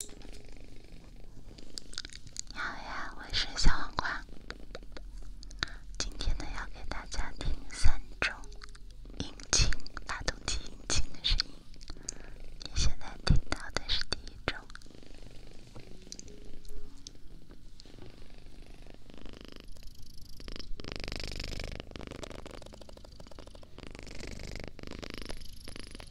你好呀，我是小黄瓜。今天呢，要给大家听三种引擎、发动机引擎的声音。你现在听到的是第一种。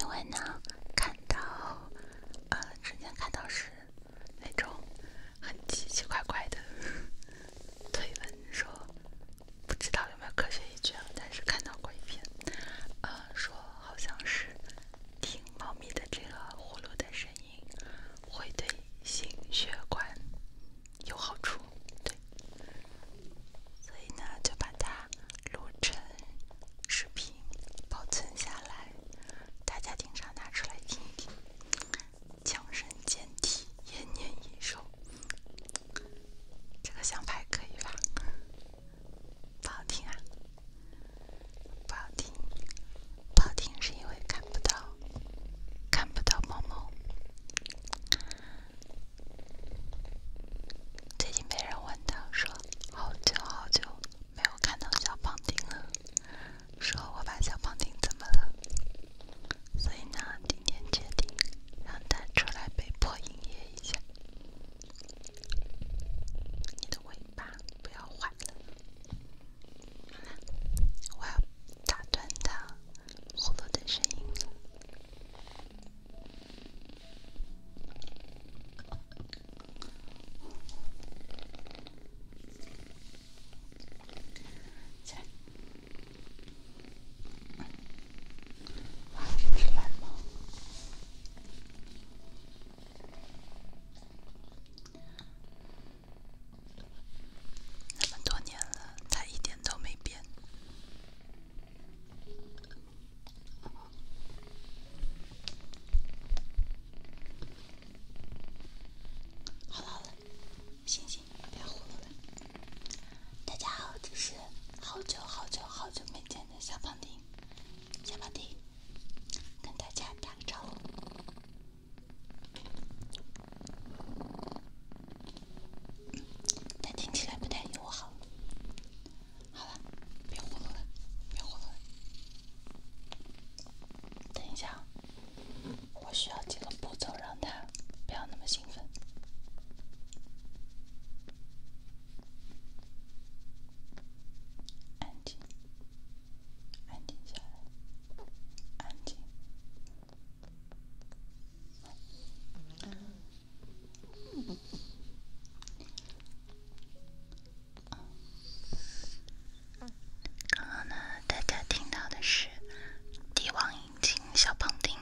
因为呢，看到，呃，之前看到是那种很奇奇怪怪的推文，说不知道有没有科学依据，啊，但是看到过一篇，呃，说好像是。听猫咪的这个呼噜的声音，会对心血管有好处，对。所以呢，就把它录成视频保存下来，大家经常拿出来听一听，强身健体，延年益寿。这个响牌可以吧？不好听啊。不好听，不好听是因为看不到，看不到毛毛。最近没人问到，说好久好久没有看到小胖丁了，说我把小胖丁怎么了？所以呢，今天决定让他出来被迫营业一下。你的尾巴不要坏。我要打断他呼噜的声音。来，换一只蓝猫。那么多年了，他一点都没变。好了，醒醒，别呼噜了。大家好，这是好久好久好久没见的小胖丁，小胖丁。跟大家打个招呼，但听起来不太友好。好了，别胡闹了，别胡闹了。等一下，我需要几个步骤让他不要那么兴奋，安静。安静下来，安静。刚好呢，大家听到的是帝王引擎小胖丁，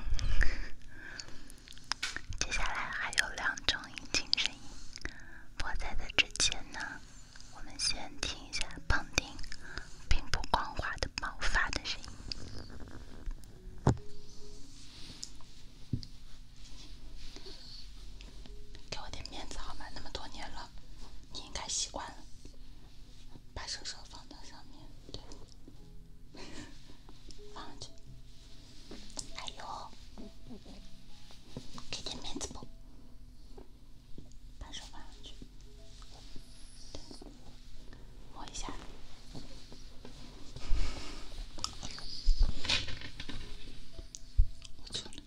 接下来还有两种引擎声音，我在的之前呢。我们先听一下蓬顶并不光滑的毛发的声音，给我点面子好吗？那么多年了，你应该习惯了。把手手放到上面，对，放去。哎呦，给点面子不？把手放上去，摸一下。我错了，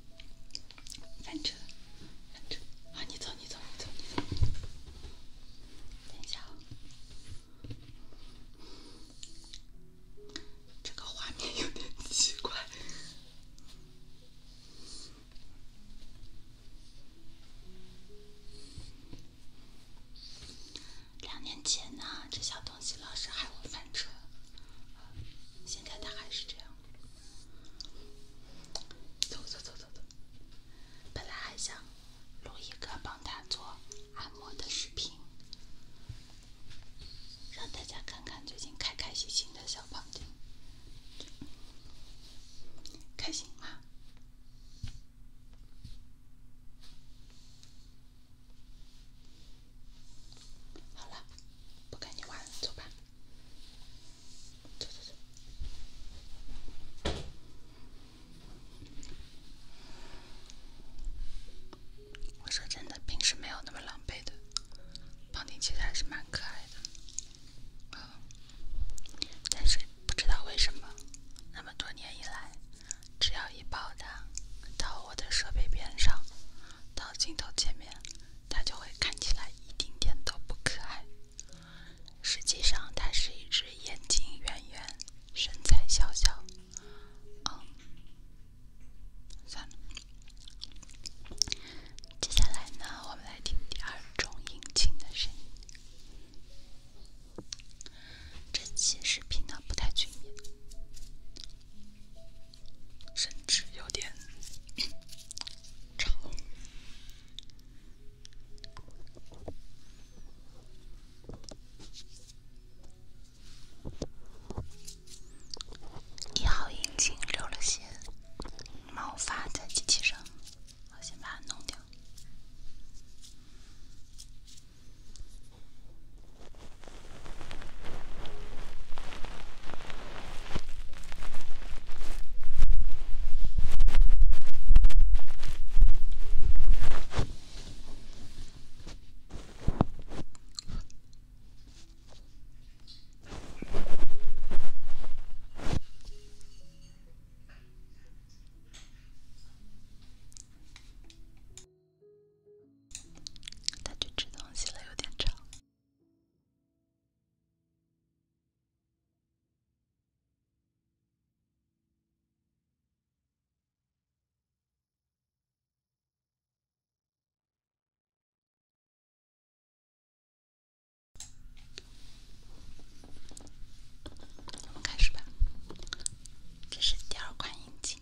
翻车了，翻车！啊，你走，你走，你走，你走。等一下，这个画面有点奇怪。两年前呢，这小东西老是害我翻车，现在它还是这样。走走走走，本来还想录一个帮它做按摩的视频。让大家看看最近开开心心的小胖丁，开心吗？好了，不跟你玩了，走吧，走走走。我说真的，平时没有那么狼狈的。胖丁其实还是蛮可爱的，嗯，但是不知道为什么，那么多年以来，只要一抱它到我的设备边上，到镜头前面，它就会看起来一丁点都不可爱。实际上，它是一只眼睛圆圆、身材小小，嗯。算了，接下来呢，我们来听第二种引擎的声音。这期视频呢不太全面，甚至有点吵。一号眼睛留了些毛发在机器上，我先把它弄掉。他去吃东西了，有点吵。我们开始吧，这是第二款眼镜。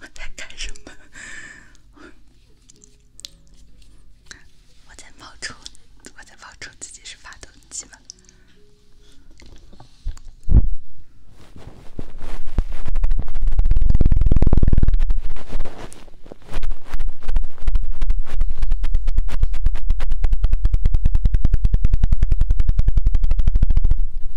我在干什么？我在冒充，我在冒充自己是发动机吗？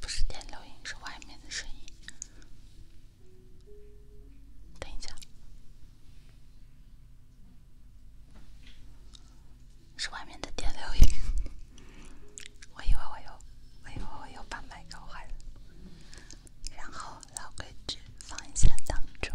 不是电流音，是外面的声音。等一下，是外面的电流音。我以为我又，我以为我又把麦搞坏了。然后老规矩，放一下当钟。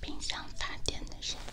冰箱插电的声音。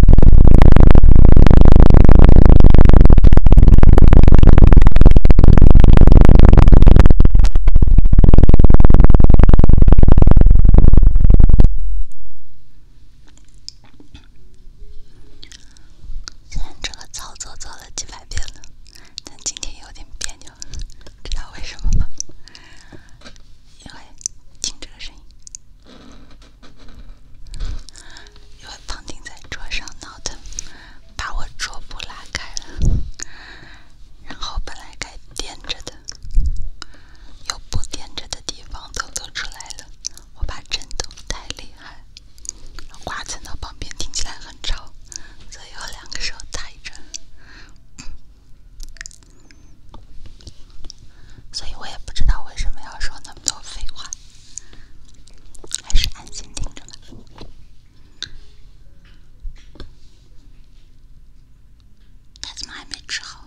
看这个操作做了几百遍了，但今天有点别扭，知道为什么吗？因为听这个声音。因为旁听在桌上闹腾，把我桌布拉开了，然后本来该垫着的，有布垫着的地方都露出来了。我怕震动太厉害，刮蹭到旁边，听起来很吵，所以有两个手抬着。所以我也不知道为什么要说那么多废话，还是安心听着吧。他怎么还没治好？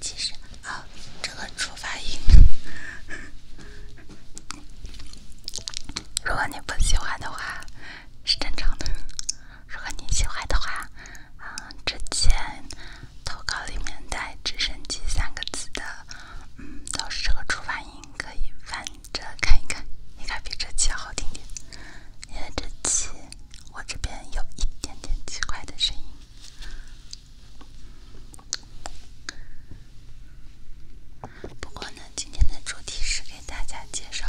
其实啊，这个出发音，如果你不喜欢的话，是正常的；如果你喜欢的话，啊，之前。投稿里面带“直升机”三个字的，嗯，都是这个触发音，可以翻着看一看。应该比这期好听点，因为这期我这边有一点点奇怪的声音。不过呢，今天的主题是给大家介绍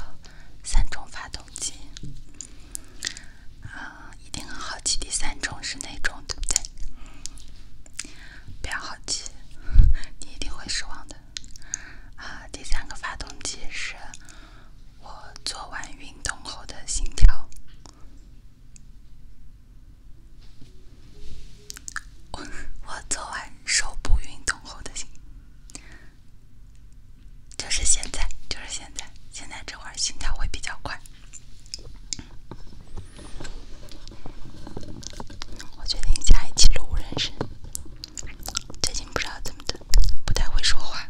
三种发动机。啊，一定很好奇第三种是哪种，对不对？不要好奇，你一定会失望的。啊，第三个发动机是我做完运动后的心跳。我 我做完手部运动后的心，就是现在，就是现在，现在这会儿心跳会比较快。我决定下一期录人生。最近不知道怎么的，不太会说话。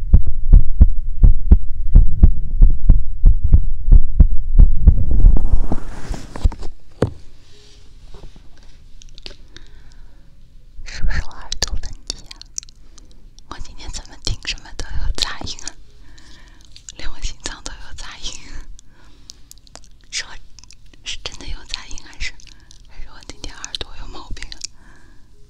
是不是我耳朵问题啊？我今天怎么听什么都有杂音啊？连我心脏都有杂音。是我是真的有杂音，还是还是我今天耳朵有毛病啊？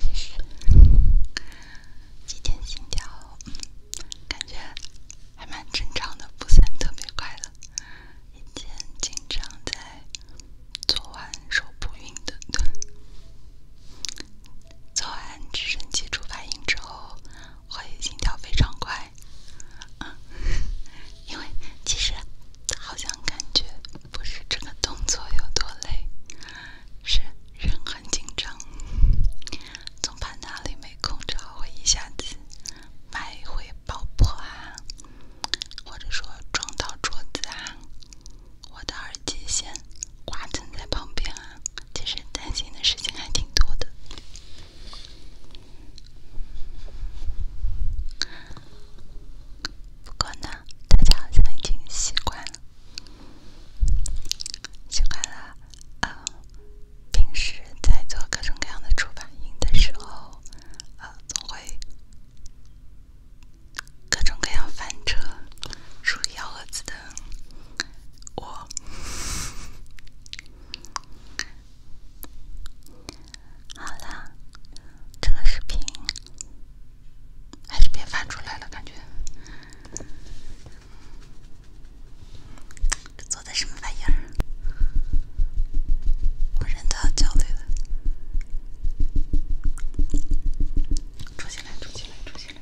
其实今天心跳感觉还蛮正常的，不算特别快了。以前经常在做完手部运动、做完直升机触发型之后。会心跳非常快，嗯，因为其实好像感觉不是这个动作有多累，是人很紧张，总怕哪里没空，制好会一下子脉回爆破啊，或者说撞到桌子啊，我的耳机线挂存在旁边啊，其实担心的事情还挺多的。不过呢，大家好像已经习惯了，习惯了。呃，平时在做各种各样的出版音的时候，呃，总会各种各样翻车、出幺蛾子的我。好啦，这个视频还是别翻出来了，感觉这做的什么玩意儿？我人都要焦虑了，出去了，出去了，出去了。